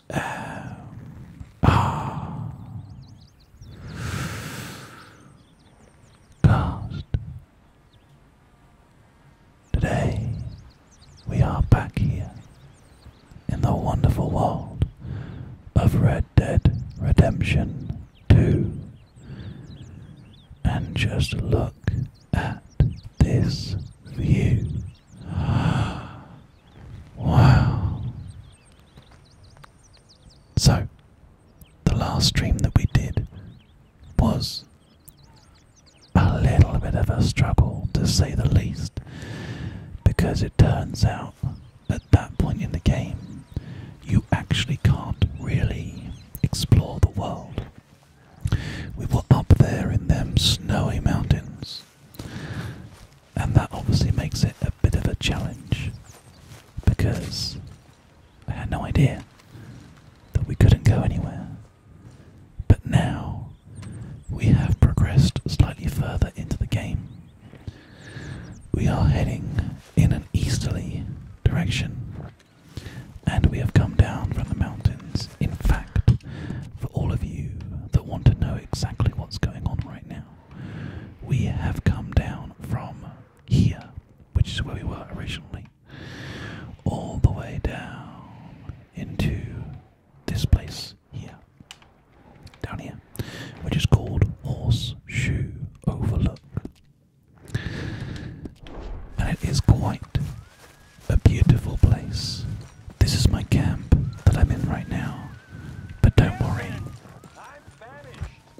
S M R Cast. Today we are back here in the wonderful world of Red Dead Redemption 2. And just look at this view. Wow. So, the last stream that we did was a little bit of a struggle, to say the least, because it turns out at that point in the game you actually can't really explore the world. We were up there in them snowy mountains, and that obviously makes it a bit of a challenge because I had no idea that we couldn't go anywhere. But now we have progressed slightly further into the game. We are heading in an easterly direction and we have come down from the mountains. In fact, for all of you that want to know exactly what's going on right now, we have come down from here, which is where we were originally, all the way down into this place here, down here, which is called Horseshoe Overlook. And it is quite a beautiful place this is my camp that I'm in right now. But don't worry.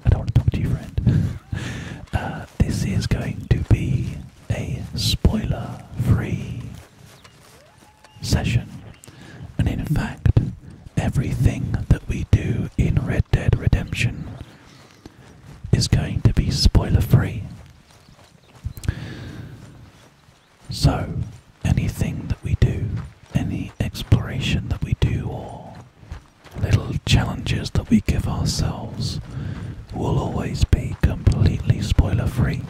I don't want to talk to you, friend. Uh, this is going to be a spoiler free session. And in fact, everything that we do in Red Dead Redemption is going to be spoiler free. So, anything that we do, any exploration that we do, or little challenges that we give ourselves, will always be completely spoiler free.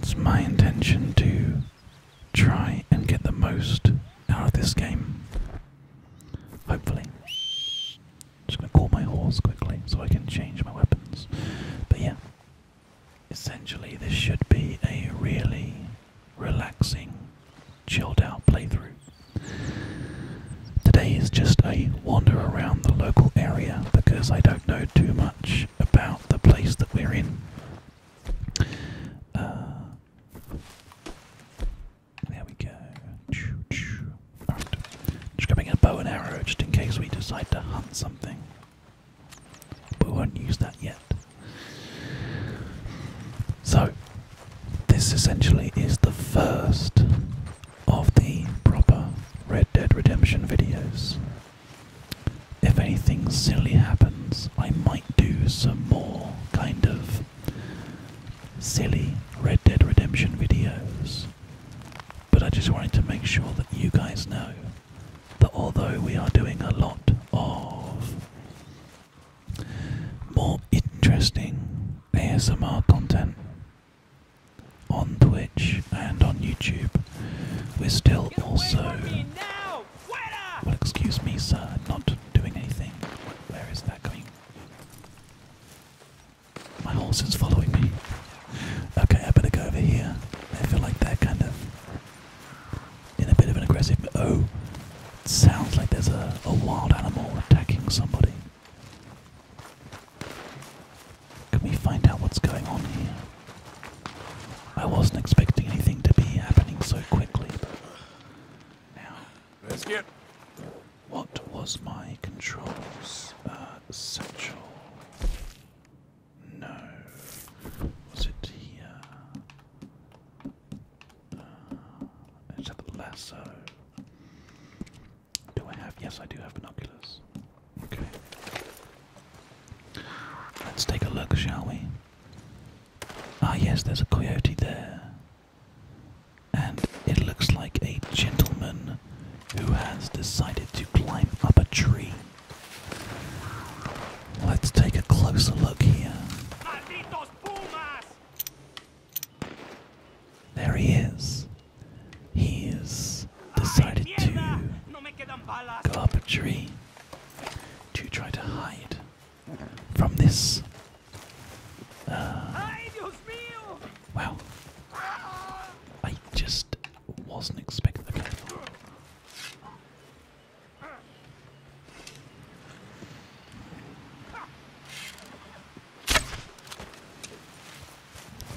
It's my intention to try and get the most out of this game. Hopefully. Just gonna call my horse quickly so I can change my weapons. But yeah, Essentially, this should be a really relaxing, chilled out playthrough. Today is just a wander around the local area because I don't know too much about the place that we're in. Uh, there we go. Just grabbing a bow and arrow just in case we decide to hunt something. But we won't use that yet. So, this essentially is the first of the proper Red Dead Redemption videos. If anything silly happens, I might do some more kind of silly Red Dead Redemption videos. But I just wanted to make sure that you guys know that although we are doing a lot of more interesting ASMR content on Twitch and on YouTube, we're still also. excuse me, sir, not doing anything. Where is that going? My horse is following me. Okay, I better go over here. I feel like that kind of in a bit of an aggressive. Oh, sounds like there's a, wild animal attacking somebody. Can we find out what's going on here? I wasn't expecting anything to be happening so quickly, now. Let's get. What was my controls? Uh, central. No. Was it here? Uh, let uh, lasso. Do I have? Yes, I do have binoculars. Okay. Let's take a look, shall we? Ah, yes, there's a coyote there. And it looks like a gentleman who has decided to climb up a tree. Let's take a closer look here. There he is. He's decided to go up a tree to try to hide from this. Uh, I just wasn't expecting. Okay.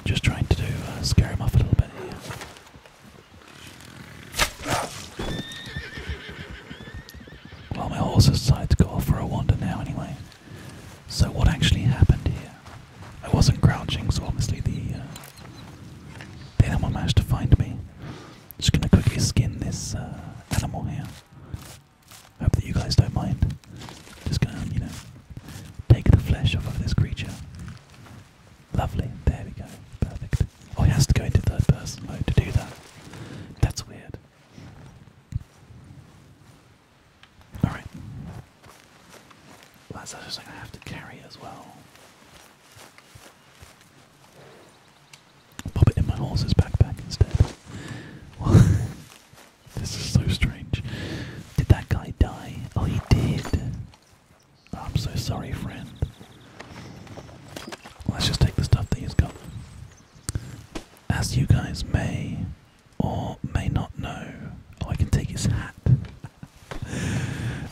Just trying to do uh, scare him off a little bit Well, my horse has decided to go off for a wander now, anyway. So, what actually happened here? I wasn't crouching, so obviously the uh, the animal managed to find me. Just gonna quickly skin this uh, animal here. Hope that you guys don't mind. Just gonna, you know, take the flesh off of this creature. Lovely. There we go. Perfect. Oh, it has to go into third person mode to do that. That's weird. Alright. Well, that's something I have to carry as well. Pop it in my horse's backpack instead. this is so strange. Did that guy die? Oh, he did. I'm so sorry, friend. Let's just take the stuff that he's got. As you guys may or may not know, oh, I can take his hat.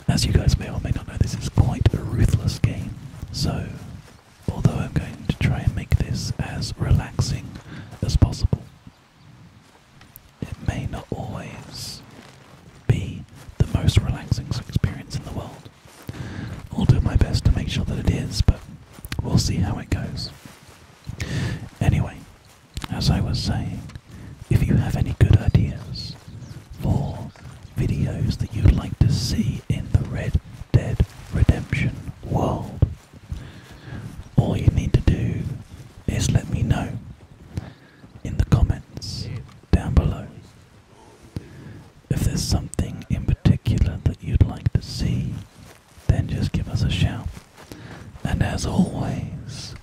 As you guys may or may not know, this is quite a ruthless game, so although I'm going to try and make this as relaxing as possible, it may not always be the most relaxing experience in the world. I'll do my best to make sure that it is, but we'll see how it goes. Anyway, as I was saying, if you have any good ideas for videos that you'd like to see in the Red Dead Redemption world. All you need to do is let me know in the comments down below if there's something in particular that you'd like to see then just give us a shout and as always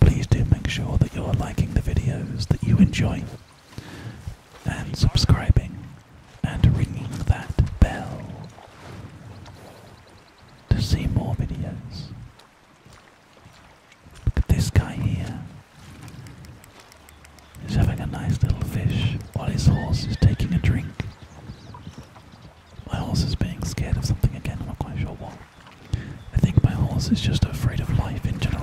please do make sure that you're liking the videos that you enjoy and subscribing and ringing that bell to see more videos. Look at this guy here. He's having a nice little fish while his horse is taking a drink. My horse is being scared of something again, I'm not quite sure what. I think my horse is just afraid of life in general.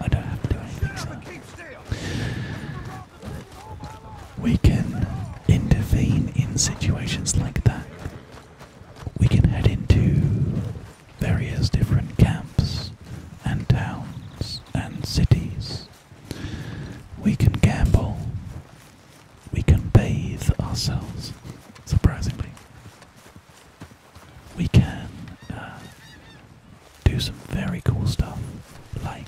I don't have to do anything, so we can intervene in situations like that. We can head into various different camps and towns and cities. We can gamble. We can bathe ourselves, surprisingly we can uh, do some very cool stuff like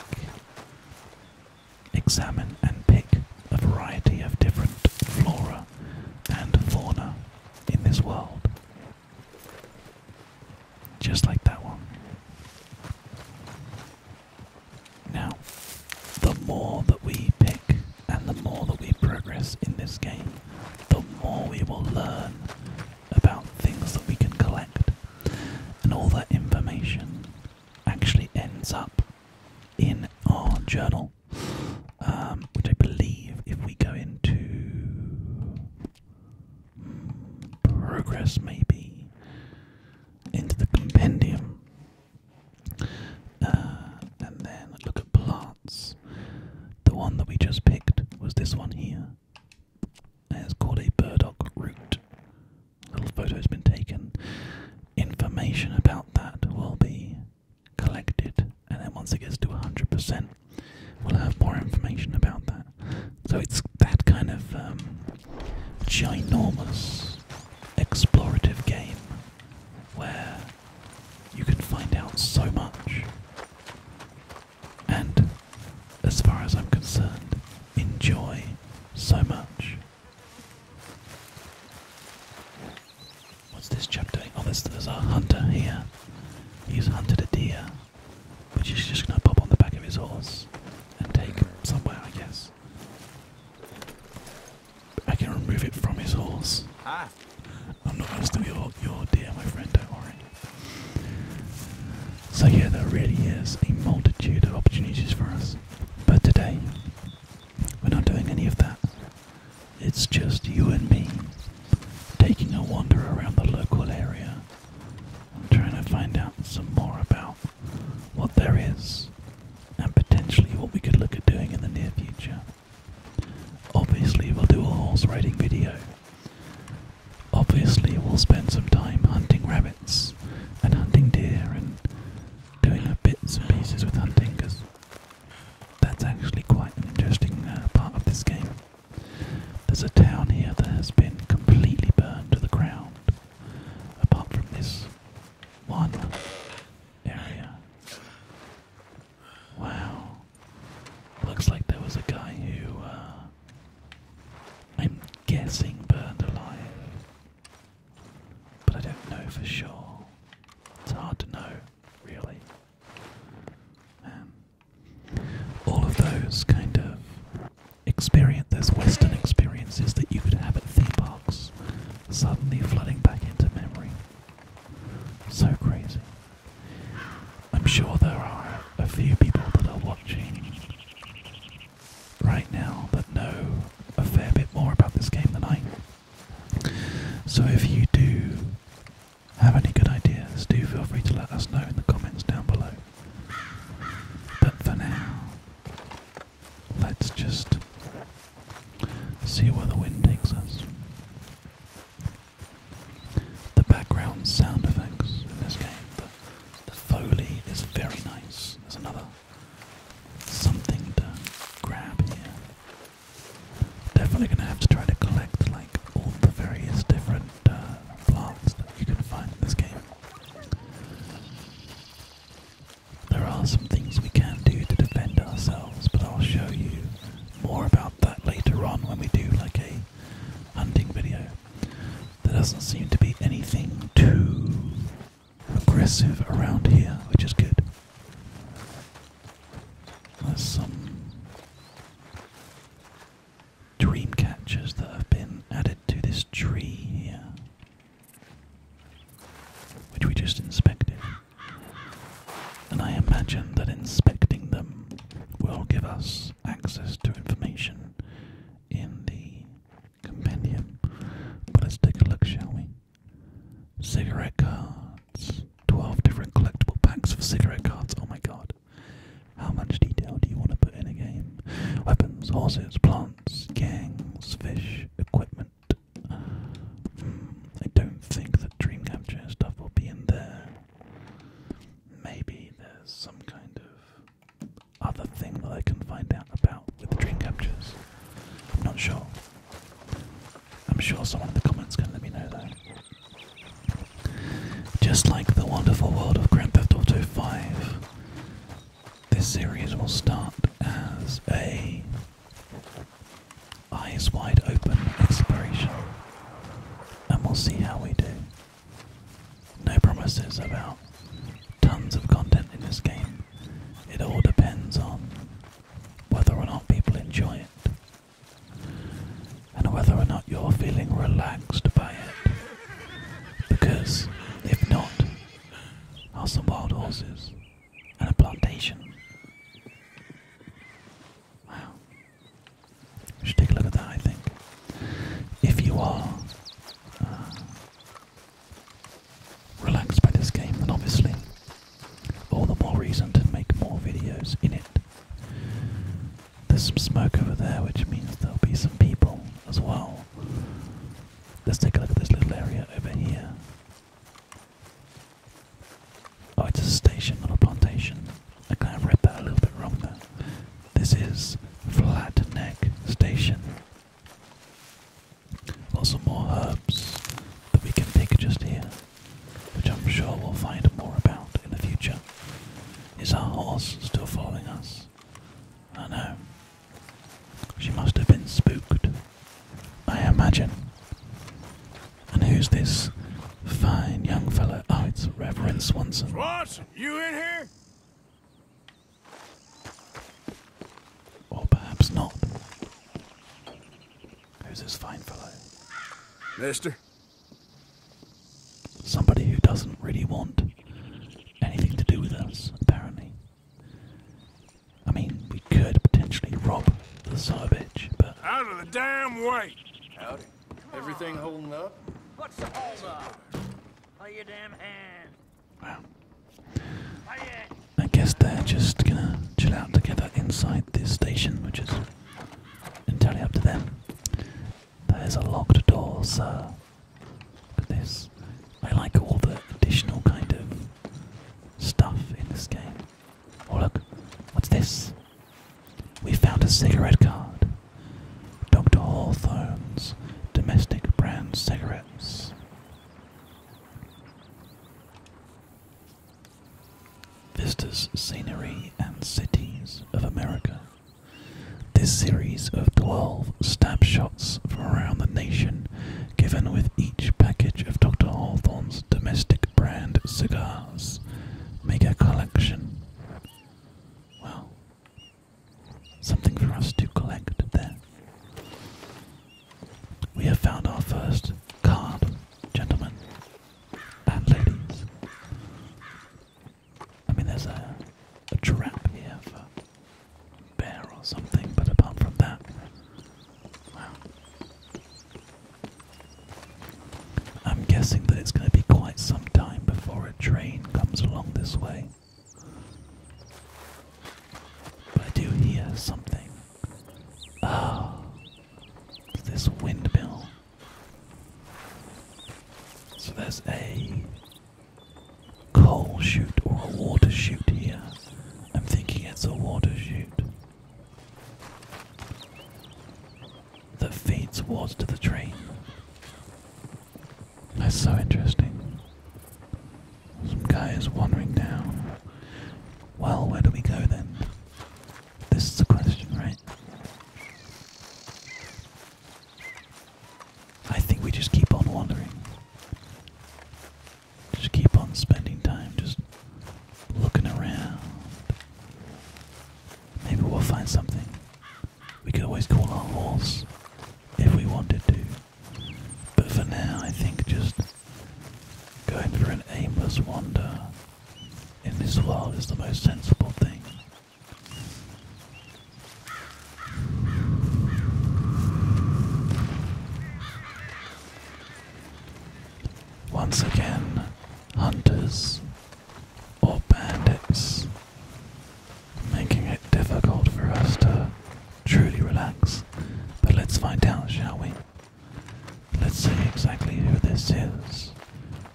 examine and pick a variety of different flora and fauna in this world. Just like that one. Now, the more that we pick and the more that we progress in this game, the more we will learn about things that we can collect, and all that information actually ends up in our journal, um, which I believe if we go into progress, maybe into the compendium. Uh, and then look at plants. The one that we just picked was this one here. It's called a burdock root. A little photo's been taken. Information about that will be collected, and then once it gets to 100%, we'll have more information about that. So it's that kind of um, ginormous explorative game where you can find out so much and, as far as I'm concerned, enjoy so much. What's this chap doing? Oh, there's, a hunter here. He's hunted a deer, which is just going to pop on the back of his horse and take somewhere, I guess. I can remove it from his horse. I'm not gonna steal your your deer, my friend. Don't worry. So yeah, there really is a multitude of opportunities for us, but today we're not doing any of that. It's just you and me taking a wander around the local area trying to find out some more about what there is and potentially what we could look at doing in the near future. Obviously, we'll do a horse riding video Obviously, we'll spend some time hunting rabbits and hunting deer and doing bits and pieces with hunting because that's actually quite an interesting uh, part of this game. There's a town here that has been completely burned to the ground, apart from this one area. Wow. Looks like there was a guy who, uh, I'm guessing burned alive. But I don't know for sure. It's hard to know, really. Um, all of those kind of experience, Western experiences that you could have at theme parks, suddenly flooding back into memory. So crazy. I'm sure there are a few people that are watching right now that know a fair bit more about this game than I. So if you do have any good ideas, do feel free to let us know in the comments down below. But for now, let's just see where the wind takes us. The background sound effects in this game, the, the foley is very nice. There's another something to grab here. Definitely going to have to try to collect like all the various different uh, plants you can find in this game. There are some things we can do to defend ourselves, but I'll show you more about that later on when we do like a hunting video. There doesn't seem to be anything too aggressive around here, which is good. There's some dream catchers that have been added to this tree here, which we just inspected. And I imagine that inspecting them will give us access to information in the compendium. But let's take a look, shall we? Cigarette cards. 12 different collectible packs for cigarette cards. Oh my god. How much detail do you want to put in a game? Weapons, horses, plants, gangs, fish, equipment. Hmm, I don't think that dream capture stuff will be in there maybe there's some kind of other thing that I can find out about with dream captures. I'm not sure. I'm sure someone in the comments can let me know though. Just like the wonderful world of Grand Theft Auto 5, this series will start as a eyes wide open exploration, and we'll see how we do. No promises about tons of content in this game. It all depends on whether or not people enjoy it and whether or not you're feeling relaxed by it. Because if not, are some wild horses and a plantation. Wow. We should take a look at that, I think. If you are uh, relaxed by this game, then obviously all the more reason to make more videos in it. There's some smoke over there, which means there'll be some people as well. Let's take a look at this little area over here. Oh, it's a station, not a plantation. I kind of read that a little bit wrong This is Flat Neck Station. Lots more herbs that we can pick just here, which I'm sure we'll find more about in the future. Is our horse still following us? I know. She must have been spooked, I imagine. And who's this fine young fellow? Oh, it's Reverend Swanson you in here? Or perhaps not. Who's this fine fellow? Mister? Somebody who doesn't really want anything to do with us, apparently. I mean, we could potentially rob the Sarbage, but. Out of the damn way! Howdy. Everything holding up? What's the holdup? Lay your damn hand. Wow. I guess they're just gonna chill out together inside this station, which is entirely up to them. There's a locked door, sir. Look at this. I like all the additional kind of stuff in this game. Oh look, what's this? We found a cigarette card. Dr. Hawthorne's domestic brand cigarettes. Vistas, Scenery, and Cities of America. This series of 12 stab from around the nation, given with each package of Dr. Hawthorne's domestic brand cigars, make a collection well, something for us to collect there. We have found our first card, gentlemen and ladies. I mean, there's a, trap here for bear or something, but apart from that, wow. I'm guessing that it's going to be quite some time before a train comes along this way. But I do hear something. Ah, oh, this windmill. So there's a coal chute or a water chute here. I'm thinking it's a water chute that feeds water to the train. That's so interesting. Some guy is wandering down. Well, where do we go then? This is a question, right? I think we just keep on wandering. Just keep on spending time just looking around. Maybe we'll find something. We could always call our horse if we wanted to. But for now, I think just going for an aimless wander in this world is the most sensible thing. Once again, hunters or bandits, making it difficult for us to truly relax. But let's find out, shall we? Let's see exactly who this is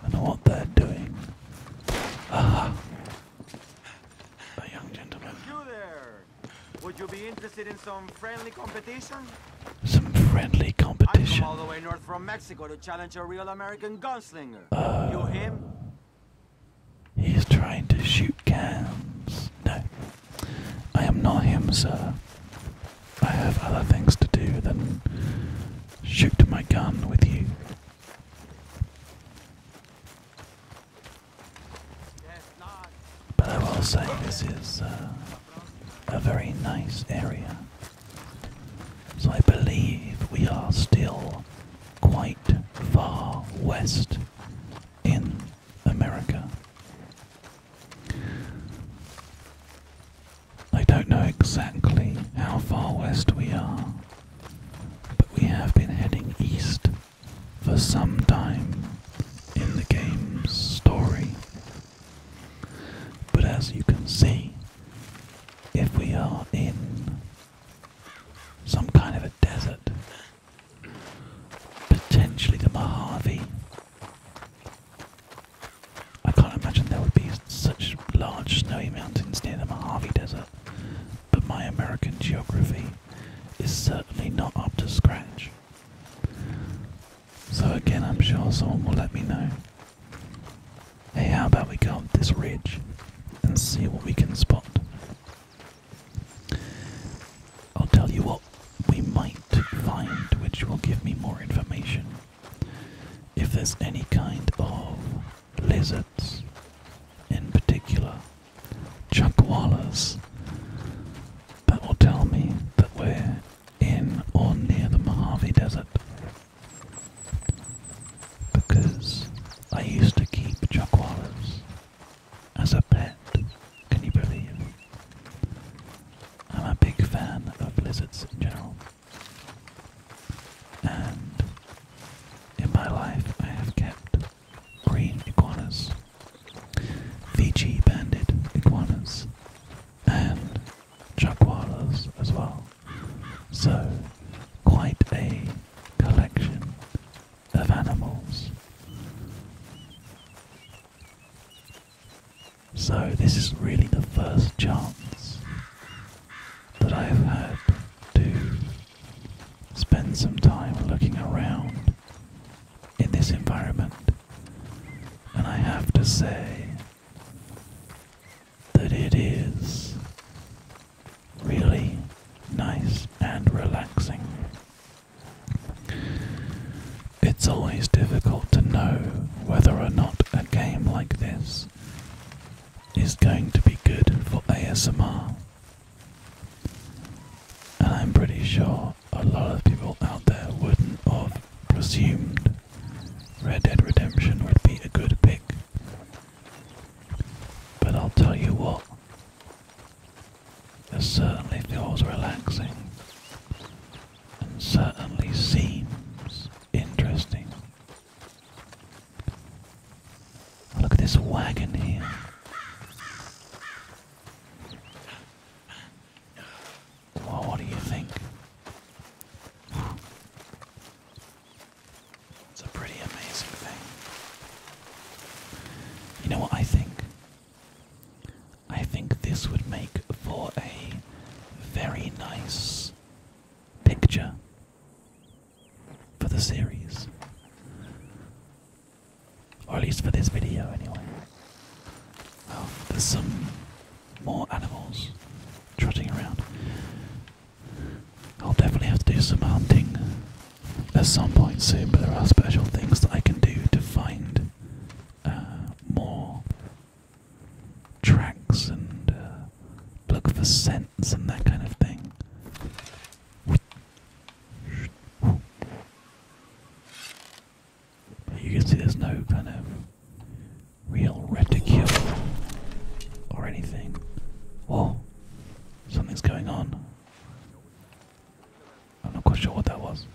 and what they're doing. Aha! A young gentleman. Would you be interested in some friendly competition? Some friendly competition. I come all the way north from Mexico to challenge a real American gunslinger. You're him? He's trying to shoot cans. No. I am not him, sir. I have other things to do than shoot my gun with you. But I will say this is uh, a very nice area. So I believe we are still quite far west in America. I don't know exactly how far west we are, but we have been heading east for some time in the game's story. But as you can see, if we are in some kind of a desert. Potentially the Mojave. I can't imagine there would be such large snowy mountains near the Mojave Desert, but my American geography is certainly not up to scratch. So, again, I'm sure someone will let me know Hey, how about we go up this ridge and see what we can spot? I'll tell you what we might find, which will give me more information. If there's any kind of lizards, in particular, chuckwallas, that will tell me that we're in or near the Mojave Desert. Because I used to keep jaguaras as a pet, can you believe? I'm a big fan of lizards in general. And in my life I have kept green iguanas, Fiji banded iguanas, and jaguaras as well. So, quite a collection of animals. So, this is really the first chance that I have had to spend some time looking around in this environment. And I have to say, that it is really nice and relaxing. It's always difficult to know whether or not a game like this is going to be good for ASMR. And I'm pretty sure a lot of people out there wouldn't have presumed Red Dead Redemption would be a good pick but I'll tell you what, it certainly feels relaxing and certainly seems interesting. Look at this wagon here. what do you think? It's a pretty amazing thing. You know what I think? I think this would make for a very nice picture for the series. Or at least for this video, anyway. Oh, there's some more animals trotting around. I'll definitely have to do some hunting at some point soon, but there are special things that I can do to find uh, more tracks and uh, look for scents and that kind of thing. You can see there's no kind of real reticule or anything. Oh, something's going on. I'm not quite sure what that was.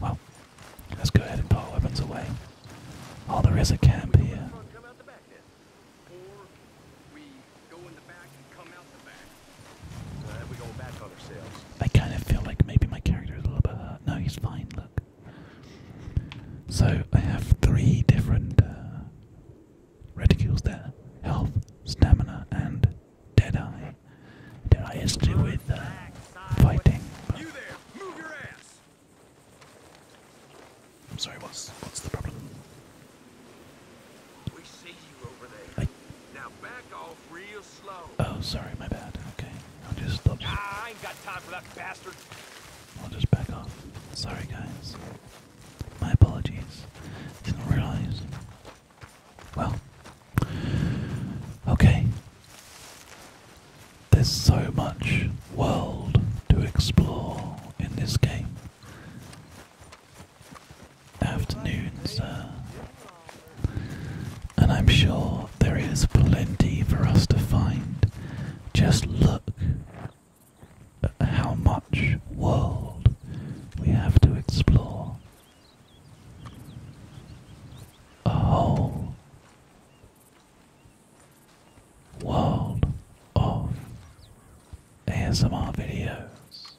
Well, let's go ahead and put our weapons away. Oh, there is a camp here. I kind of feel like maybe my character is a little bit hurt. No, he's fine, look. So I have three different uh, ridicules their health, stamina, and Dead eye is to do with uh, fighting. You there, move your ass. I'm sorry, what's what's the problem? We see you over there. Now back off real slow. Oh, sorry, my bad. Okay, I'll just stop. I ain't got time for that bastard. I'll just back off. Sorry, guys. My apologies. Didn't realize. Well. Okay. There's so much world to explore in this game. Afternoons, uh, and I'm sure there is plenty for us to find. Just look how much world we have to explore. A whole world of ASMR videos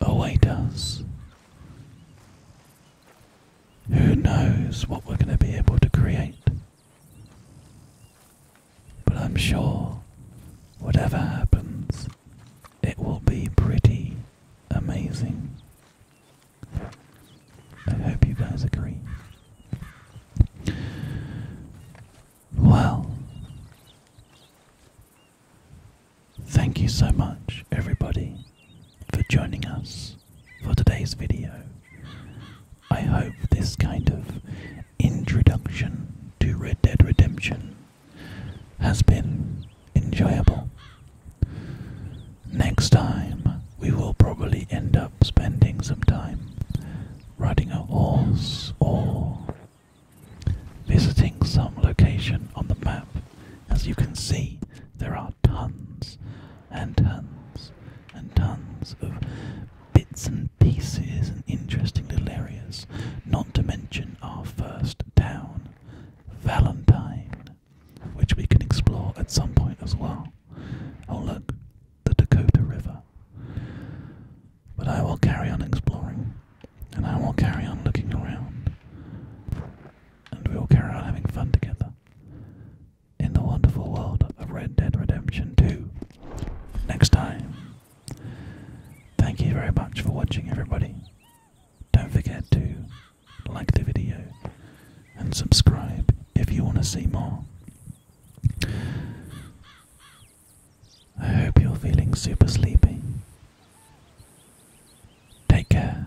await us. Who knows what we're going to be able to create? But I'm sure whatever happens, it will be pretty amazing. I hope you guys agree. Well, thank you so much, everybody, for joining us for today's video. I hope this kind of introduction to Red Dead Redemption has been enjoyable. Next time, we will probably end up spending some time riding a horse or visiting some location on the map. As you can see, there are tons and tons and tons of bits and pieces and interesting little areas, not to mention our first town, Valentine, which we can explore at some point as well. Oh, look, the Dakota River. But I will carry on exploring, and I will carry on looking around, and we will carry on having fun together in the wonderful world of Red Dead Redemption 2 next time. Thank you very much for watching, everybody. Don't forget to like the video and subscribe if you want to see more. I hope you're feeling super sleepy. Take care